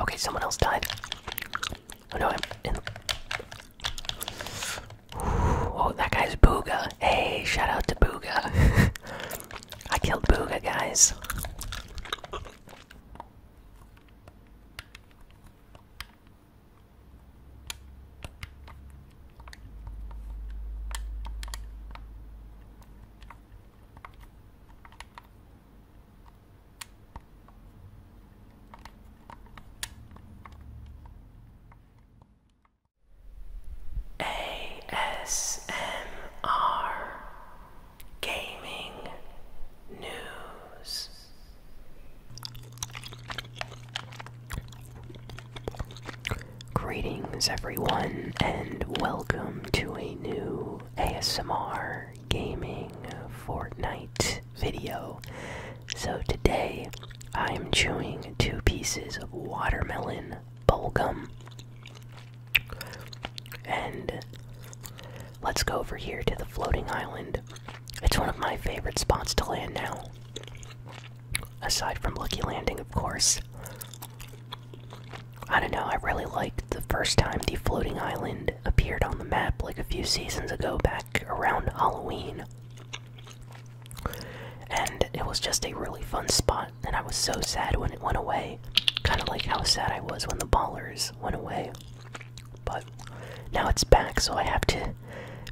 Okay, someone else died. Oh no, I'm in. oh, that guy's Booga. Hey, shout out to Booga. I killed Booga, guys. ASMR Gaming News. Greetings, everyone, and welcome to a new ASMR gaming Fortnite video. So today I am chewing two pieces of watermelon bubble gum, And let's go over here to the floating island. It's one of my favorite spots to land now. Aside from Lucky Landing, of course. I don't know, I really liked the first time the floating island appeared on the map, like a few seasons ago, back around Halloween. And it was just a really fun spot, and I was so sad when it went away. Kind of like how sad I was when the ballers went away. But now it's back, so I have to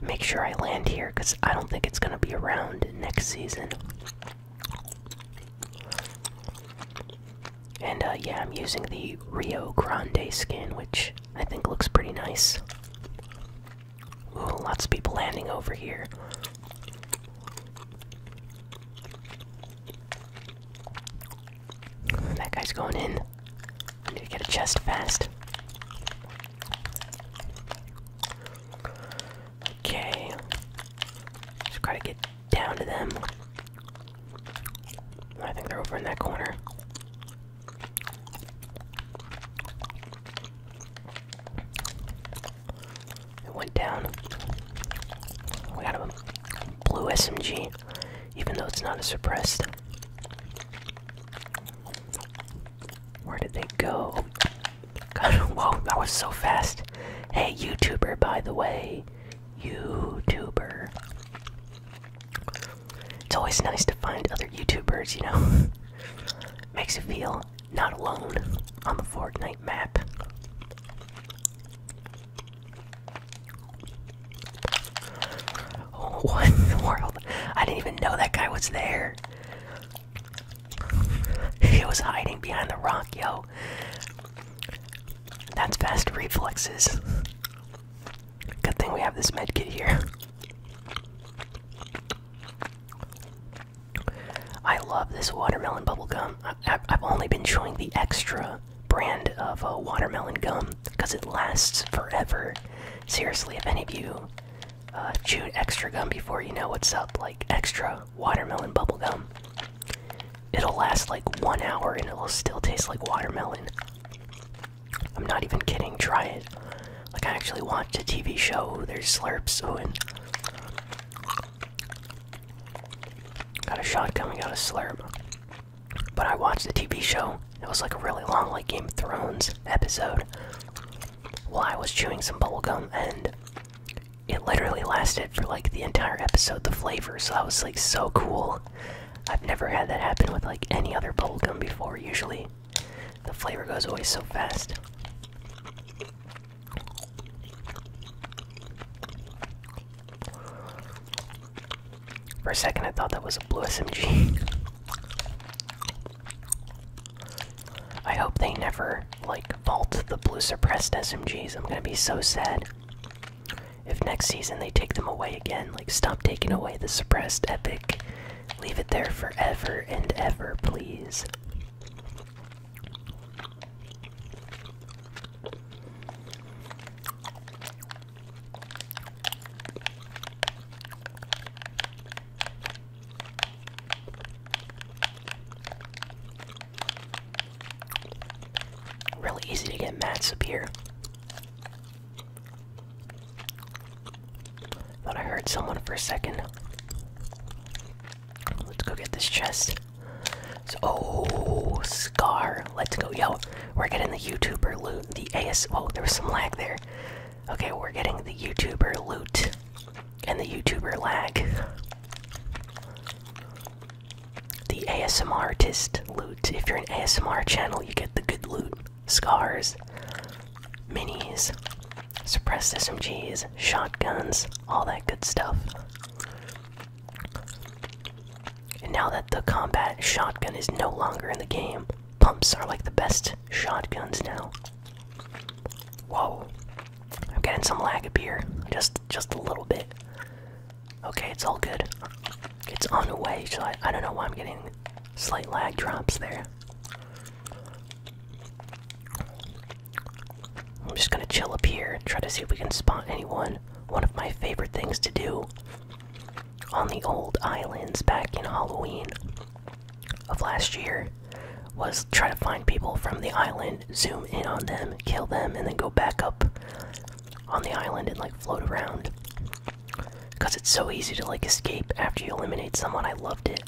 make sure I land here because I don't think it's going to be around next season. And uh, yeah, I'm using the Rio Grande skin, which I think looks pretty nice. Ooh, lots of people landing over here. That guy's going in. I need to get a chest fast. Okay. Just gotta get down to them. I think they're over in that corner. It went down. We got a blue SMG, even though it's not a suppressed. Where did they go? whoa, that was so fast. Hey, YouTuber, by the way, YouTuber. It's always nice to find other YouTubers, you know? Makes you feel not alone on the Fortnite map. Oh, what in the world? I didn't even know that guy was there. He was hiding behind the rock, yo. That's fast reflexes. Good thing we have this med kit here. I love this watermelon bubble gum. I, have only been chewing the extra brand of uh, watermelon gum because it lasts forever. Seriously, if any of you uh, chewed extra gum before, you know what's up. Like extra watermelon bubble gum. It'll last like one hour and it'll still taste like watermelon. I'm not even kidding, try it. Like, I actually watched a TV show, there's slurps, oh, and. Got a shot coming out of slurp. But I watched a TV show, it was like a really long, like Game of Thrones episode, while I was chewing some bubblegum, and it literally lasted for like the entire episode. The flavor so that was like so cool. I've never had that happen with like any other gum before, usually. The flavor goes away so fast. For a second, I thought that was a blue SMG. I hope they never like vault the blue suppressed SMGs. I'm gonna be so sad. If next season they take them away again, like stop taking away the suppressed epic. Leave it there forever and ever, please. Really easy to get mats up here. Thought I heard someone for a second. Let's go get this chest. oh, Scar. Let's go. Yo, we're getting the YouTuber loot. The AS. Oh, there was some lag there. Okay, we're getting the YouTuber loot and the YouTuber lag. The ASMR artist loot. If you're an ASMR channel, you get the good loot. Scars, minis, suppressed SMGs, shotguns, all that good stuff. And now that the combat shotgun is no longer in the game, pumps are like the best shotguns now. Whoa. I'm getting some lag up here. Just just a little bit. Okay, it's all good. It's on the way, so I, I don't know why I'm getting slight lag drops there. I'm just gonna chill up here, try to see if we can spot anyone. One of my favorite things to do on the old islands back in Halloween of last year was try to find people from the island, zoom in on them, kill them, and then go back up on the island and like float around because it's so easy to like escape after you eliminate someone. I loved it.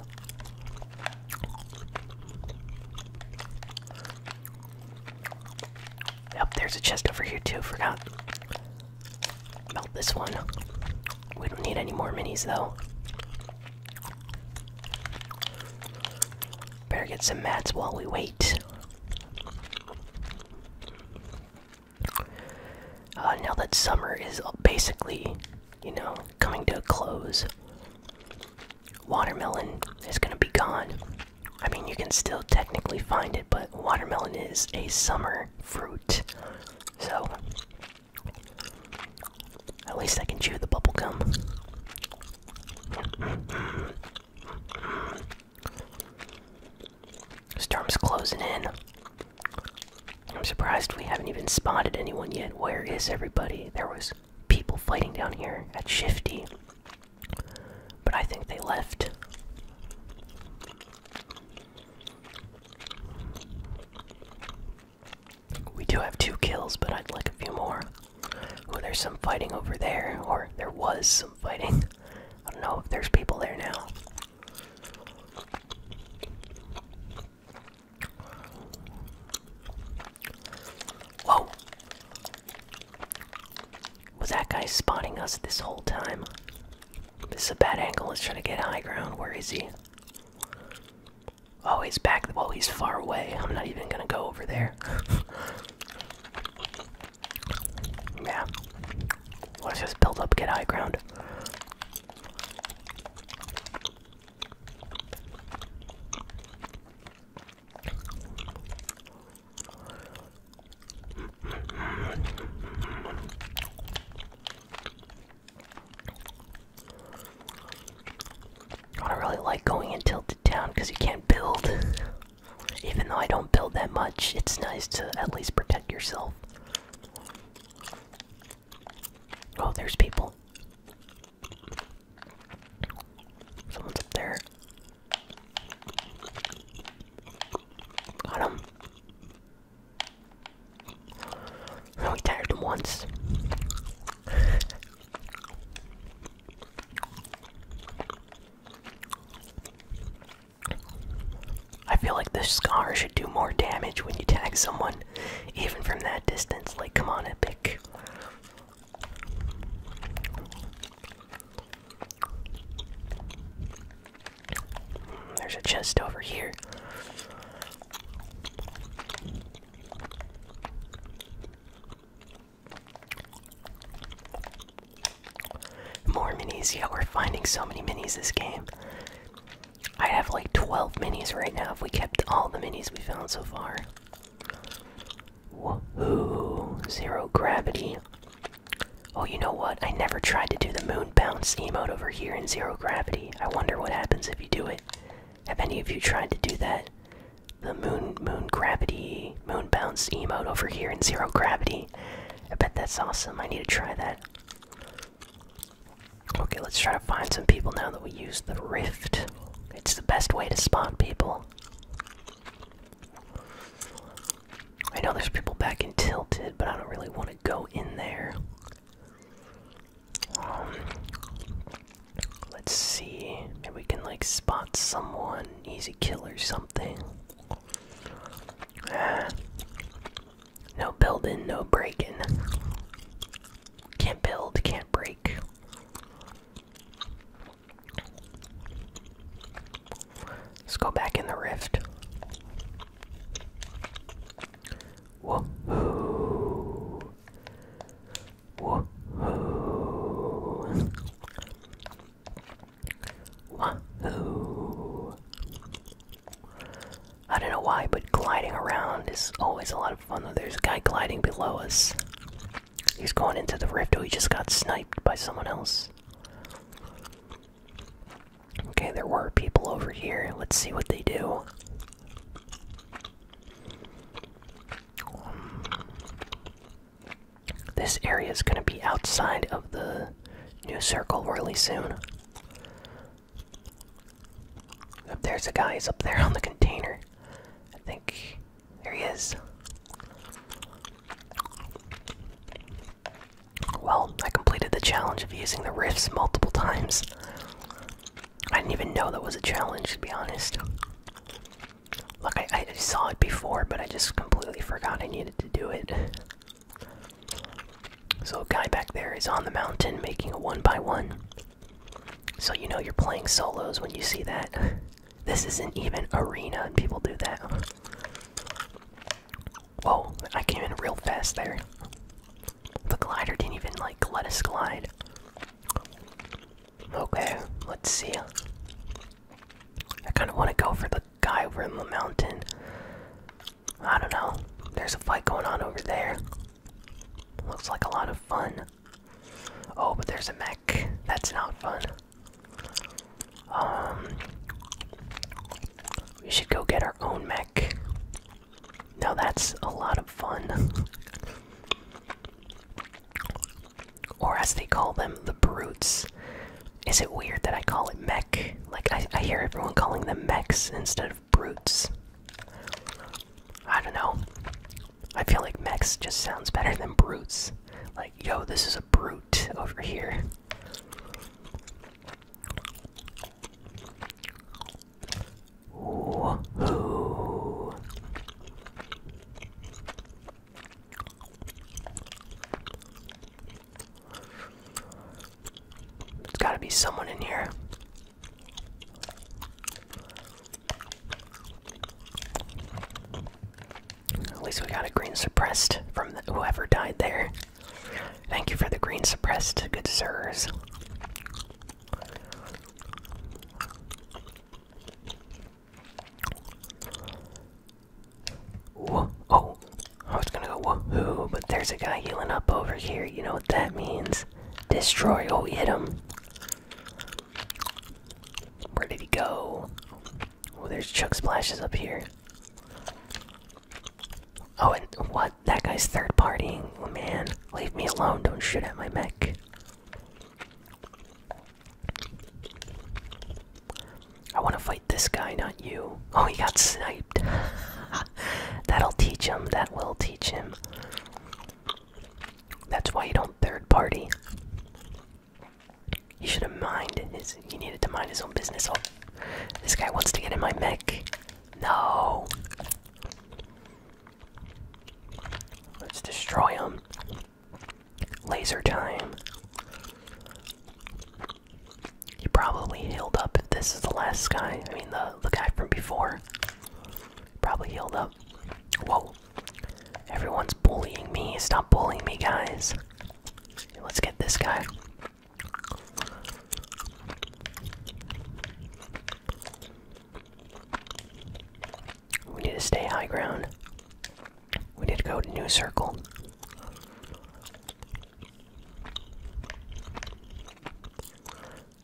Yep, there's a chest over here too. Forgot about this one. We don't need any more minis though. Better get some mats while we wait. Uh, now that summer is basically, you know, coming to a close, watermelon is gonna be gone. I mean, you can still technically find it, but watermelon is a summer fruit. So, at least I can chew the bubblegum. Storm's closing in. I'm surprised we haven't even spotted anyone yet. Where is everybody? There was people fighting down here at Shifty. But I think they left. We do have two kills, but I'd like a few more. Oh, there's some fighting over there, or there was some fighting. I don't know if there's people there now. Whoa! Was that guy spotting us this whole time? This is a bad angle. He's trying to get high ground. Where is he? Oh, he's back. Well, he's far away. I'm not even gonna go over there. Yeah. Let's just build up, get high ground. I really like going into town because you can't build. Even though I don't build that much, it's nice to at least protect yourself. Oh, there's people. Someone's up there. Got him. I only tagged him once. I feel like the scar should do more damage when you tag someone, even from that distance. Like, come on, Epic. Hmm, there's a chest over here. More minis, yeah, we're finding so many minis this game. I have like 12 minis right now if we kept all the minis we found so far. Woohoo! Zero gravity. Oh, you know what? I never tried to do the moon bounce emote over here in zero gravity. I wonder what happens if you do it. Have any of you tried to do that? the moon moon gravity moon bounce emote over here in zero gravity. I bet that's awesome. I need to try that. Okay, let's try to find some people now that we use the rift. It's the best way to spot people. I know there's people back in Tilted, but I don't really want to go in there. Um, let's see. if we can like spot someone easy kill or something. No building, no breaking. Can't build, can't break. Let's go back in the rift. I don't know why, but gliding around is always a lot of fun. there's a guy gliding below us. He's going into the rift. Oh, he just got sniped by someone else. Okay, there were people over here. Let's see what they do. This area is going to be outside of the new circle really soon. there's a guy. He's up there on the container. I think. There he is. Well, I completed the challenge of using the rifts multiple times. I didn't even know that was a challenge, to be honest. Look, I, saw it before, but I just completely forgot I needed to do it. So, guy back there is on the mountain making a one by one. So, you know you're playing solos when you see that. This isn't even arena, and people do that. Whoa, I came in real fast there. The glider didn't even like let us glide. Okay, let's see. I kind of want to go for the guy over in the mountain. I don't know. There's a fight going on over there. Looks like a lot of fun. Oh, but there's a mech. That's not fun. Um, we should go get our own mech. Now that's a lot of fun or as they call them, the brutes. Is it weird that I call it mech? Like, I, hear everyone calling them mechs instead of brutes. I don't know. I feel like mechs just sounds better than brutes. Like, yo, this is a brute over here. There's gotta be someone in here. At least we got a green suppressed from whoever died there. Thank you for the green suppressed, good sirs. Whoa, oh, I was gonna go woohoo, but there's a guy healing up over here. You know what that means? Destroy. Oh, hit him. Where did he go? Oh, there's Chuck Splashes up here. Oh, and what? That guy's third partying. Oh, man, leave me alone. Don't shoot at my mech. I want to fight this guy, not you. Oh, he got sniped. That'll teach him. That will teach him. That's why you don't third party. You should have minded his. He needed to mind his own business. Oh, this guy wants to get in my mech. No. Let's destroy him. Laser time. He probably healed up this is the last guy. I mean, the, the guy from before. Probably healed up. Whoa. Everyone's bullying me. Stop bullying me, guys. Let's get this guy. We need to stay high ground. We need to go to New Circle.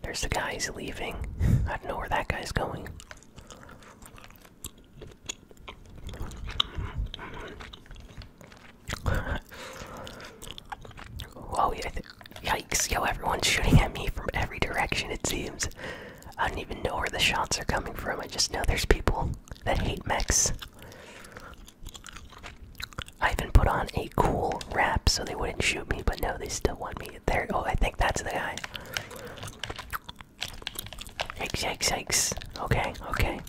There's the guy he's leaving. I don't know where that guy's going. Whoa, yeah, yikes, yo, everyone's shooting at me from every direction, it seems. I don't even know where the shots are coming from. I just know there's people that hate mechs. I even put on a cool wrap so they wouldn't shoot me, but no, they still want me. There, oh, I think that's the guy. Yikes, yikes, yikes. Okay, okay.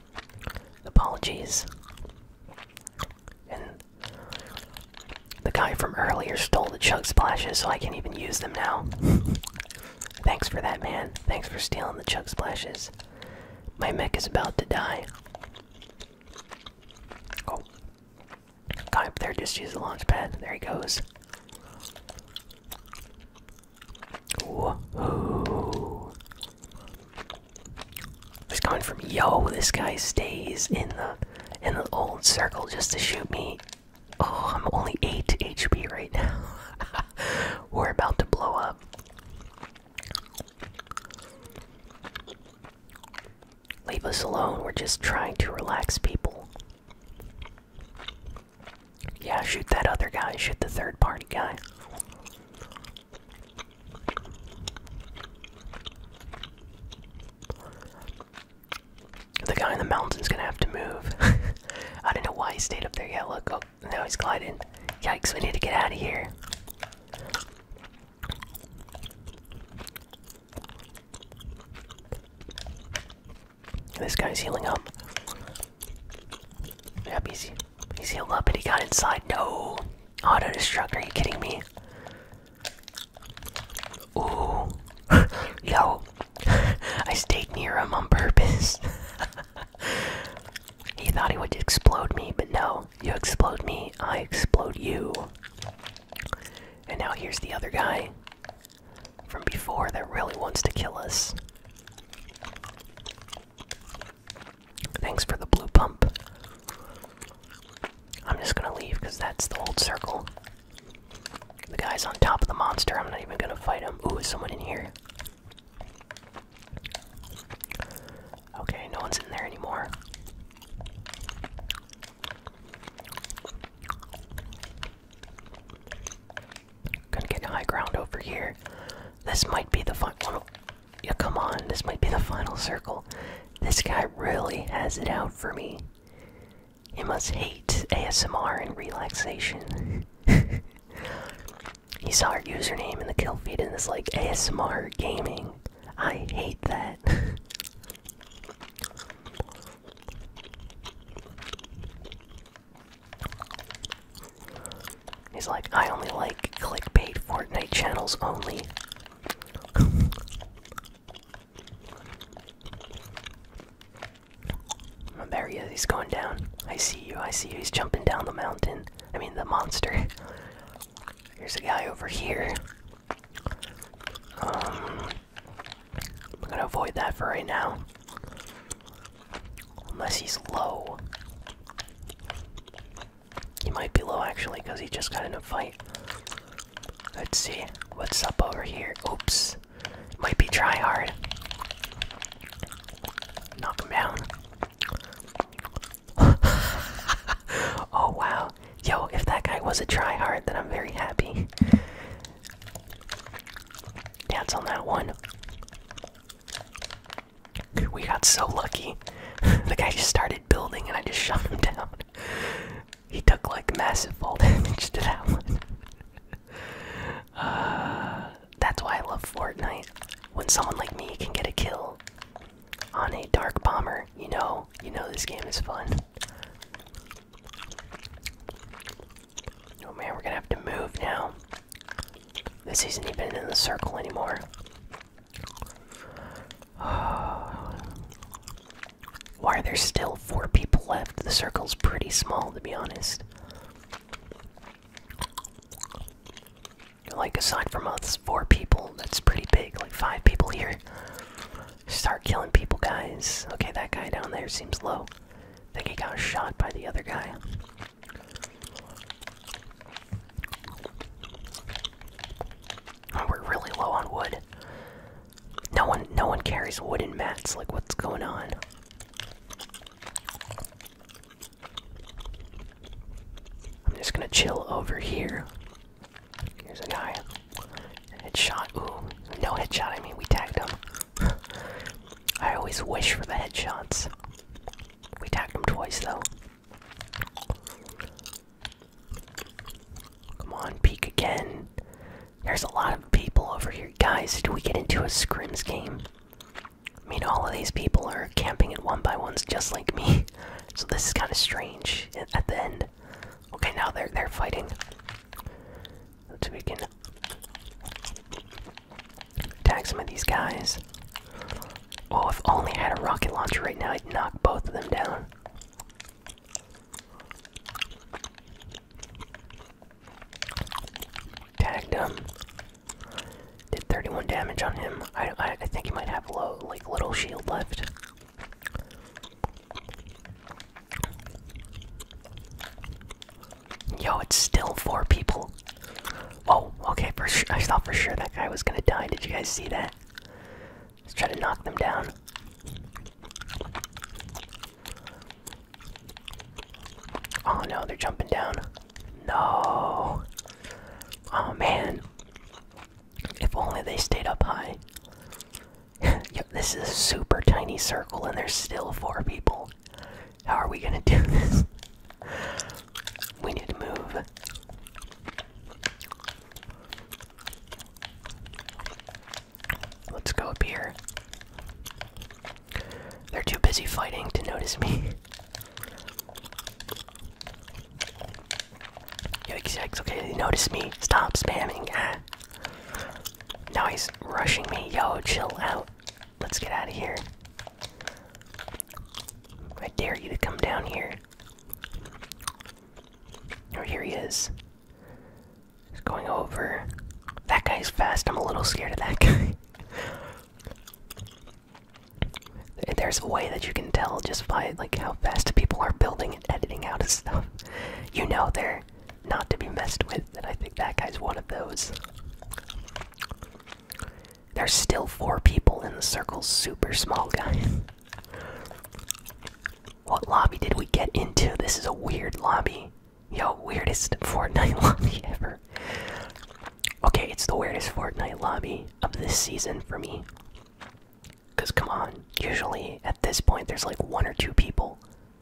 Apologies. And the guy from earlier stole the chug splashes, so I can't even use them now. Thanks for that, man. Thanks for stealing the chug splashes. My mech is about to die. Oh. Guy there just use the launch pad. There he goes. Whoa. He's coming from yo, this guy stays in the in the old circle just to shoot me Oh, I'm only 8 HP right now. We're about to blow up. Leave us alone. We're just trying to relax people. Yeah, shoot that other guy. Shoot the third party guy. The guy in the mountain's gonna have to move. I don't know why he stayed up there. yet. look. Oh, now he's gliding. Yikes, we need to get out of here. This guy's healing up. Yep, he's, he's healed up and he got inside. No! Auto destruct, are you kidding me? Ooh. Yo, I stayed near him on purpose. he thought he would explode me, but no. You explode me, I explode you. And now here's the other guy from before that really wants to kill us. Thanks for the blue pump. I'm just gonna leave because that's the old circle. The guy's on top of the monster. I'm not even gonna fight him. Ooh, someone in here? Okay, no one's in there anymore. Gonna get high ground over here. This might be the final. Yeah, come on. This might be the final circle. This guy really has it out for me. He must hate ASMR and relaxation. He saw our username in the kill feed and is like ASMR gaming. I hate that. He's like, I only like clickbait Fortnite channels only. Oh, there he is. He's going down. I see you. I see you. He's jumping down the mountain. I mean, the monster. Here's a guy over here. Um, I'm gonna avoid that for right now. Unless he's low. He might be low actually, because he just got in a fight. Let's see. What's up over here? Oops. Might be try hard. Knock him down. oh wow. Yo, if that guy was a try hard, then I'm very happy. Dance on that one. We got so lucky. the guy just started building and I just shot him down. He took like massive fall damage to that one. Uh, that's why I love Fortnite. When someone like me can get a kill on a dark bomber, you know, you know this game is fun. Oh man, we're gonna have to move now. This isn't even in the circle anymore. why are there still four people left? The circle's pretty small, to be honest. Like, aside from us four people, that's pretty big. Like, five people here. Start killing people, guys. Okay, that guy down there seems low. think he got shot by the other guy. Oh, we're really low on wood. No one, no one carries wooden mats. Like, what's going on? I'm just gonna chill over here. Here's a guy. Headshot. Ooh, no headshot. I mean, we tagged him. I always wish for the headshots. We tagged him twice though. Come on, peek again. There's a lot of people over here. Guys, did we get into a scrims game? I mean, all of these people are camping in one by ones just like me, so this is kind of strange at the end. Okay, now they're they're fighting. Let's we can attack some of these guys. Oh, if only I had a rocket launcher right now, I'd knock both of them down. Tagged him. Did 31 damage on him. I, I, think he might have low, like little shield left. Yo, it's still four people. Oh, okay. For sure, I thought for sure that guy was gonna die. Did you guys see that? Let's try to knock them down. Oh no, they're jumping down. No. Oh man. If only they stayed up high. this is a super tiny circle and there's still four people. How are we gonna do this? we need to move. Let's go up here. They're too busy fighting to notice me. Yikes, yikes, okay, they notice me. Stop spamming. Ah. Now he's rushing me. Yo, chill out. Let's get out of here. I dare you to come down here. Oh, here he is going over. That guy's fast. I'm a little scared of that guy. There's a way that you can tell just by like how fast people are building and editing out of stuff. You know they're not to be messed with, and I think that guy's one of those. There's still four people in the circle, super small guy. What lobby did we get into? This is a weird lobby. Yo, weirdest Fortnite lobby ever. Okay, it's the weirdest Fortnite lobby of this season for me. Because, come on, usually at this point there's like one or two people.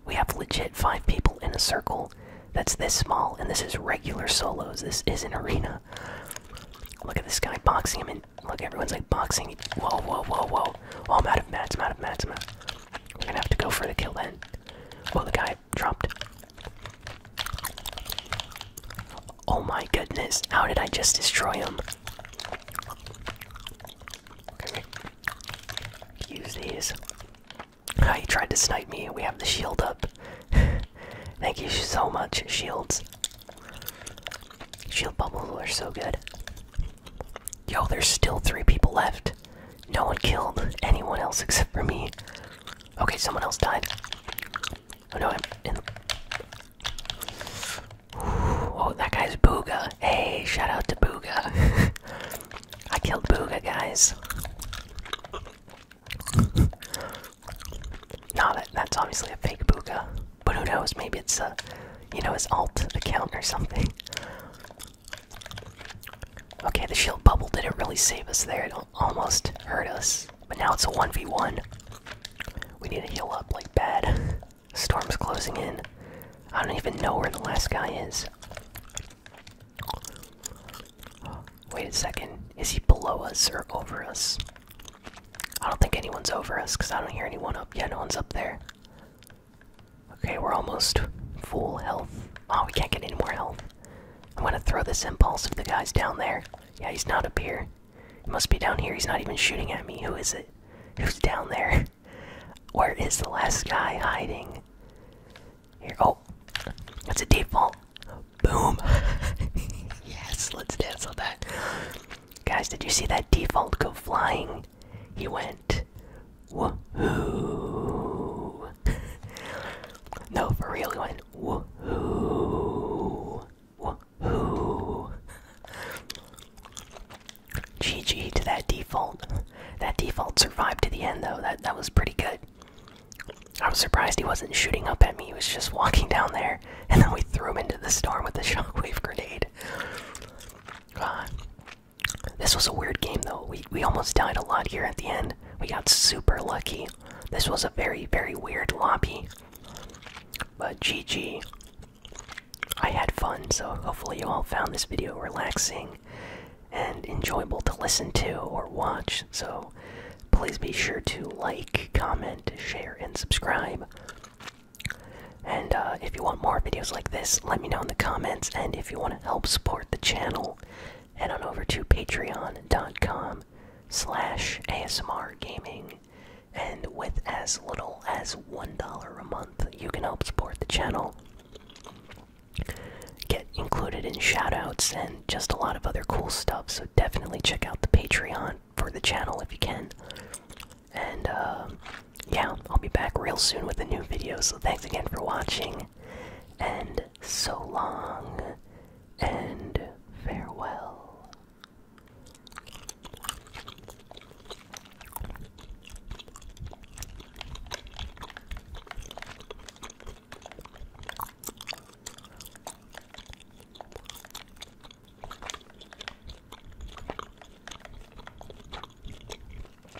We have legit five people in a circle that's this small, and this is regular solos. This is an arena. Look at this guy boxing him, and look, everyone's like boxing. Whoa, whoa, whoa, whoa. Oh, I'm out of mats, I'm out of mats, I'm out. We're gonna have to go for the kill then. Well, the guy dropped. Oh my goodness, how did I just destroy him? Use these. Ah, he tried to snipe me. We have the shield up. Thank you so much, shields. Shield bubbles are so good. Yo, there's still three people left. No one killed anyone else except for me. Okay, someone else died. Oh no, I'm in. Ooh, oh, that guy's Booga. Hey, shout out to Booga. I killed Booga, guys. nah, that, that's obviously a fake Booga. But who knows? Maybe it's a, uh, you know, his alt account or something. Okay, the shield bubble didn't really save us there. It almost hurt us. But now it's a 1v1. We need to heal up like bad. Storm's closing in. I don't even know where the last guy is. Wait a second. Is he below us or over us? I don't think anyone's over us because I don't hear anyone up. Yeah, no one's up there. Okay, we're almost full health. Oh, we can't get any more health. I'm gonna throw this impulse if the guy's down there. Yeah, he's not up here. He must be down here. He's not even shooting at me. Who is it? Who's down there? Where is the last guy hiding? Here. Oh, that's a default. Boom. yes, let's dance on that. Guys, did you see that default go flying? He went no, for real, one. went woohoo! GG to that default. That default survived to the end, though. That that was pretty good. I was surprised he wasn't shooting up at me. He was just walking down there, and then we threw him into the storm with the shockwave grenade. This was a weird game though. We we almost died a lot here at the end. We got super lucky. This was a very very weird lobby. But GG. I had fun, so hopefully you all found this video relaxing and enjoyable to listen to or watch. So please be sure to like, comment, share, and subscribe. And uh, if you want more videos like this, let me know in the comments. And if you want to help support the channel, head on over to patreon.com slash ASMR gaming. And with as little as $1 a month, you can help support the channel, get included in shoutouts, and just a lot of other cool stuff. So definitely check out the Patreon for the channel if you can. And uh, yeah, I'll be back real soon with a new video. So thanks again for watching, and so long, and farewell.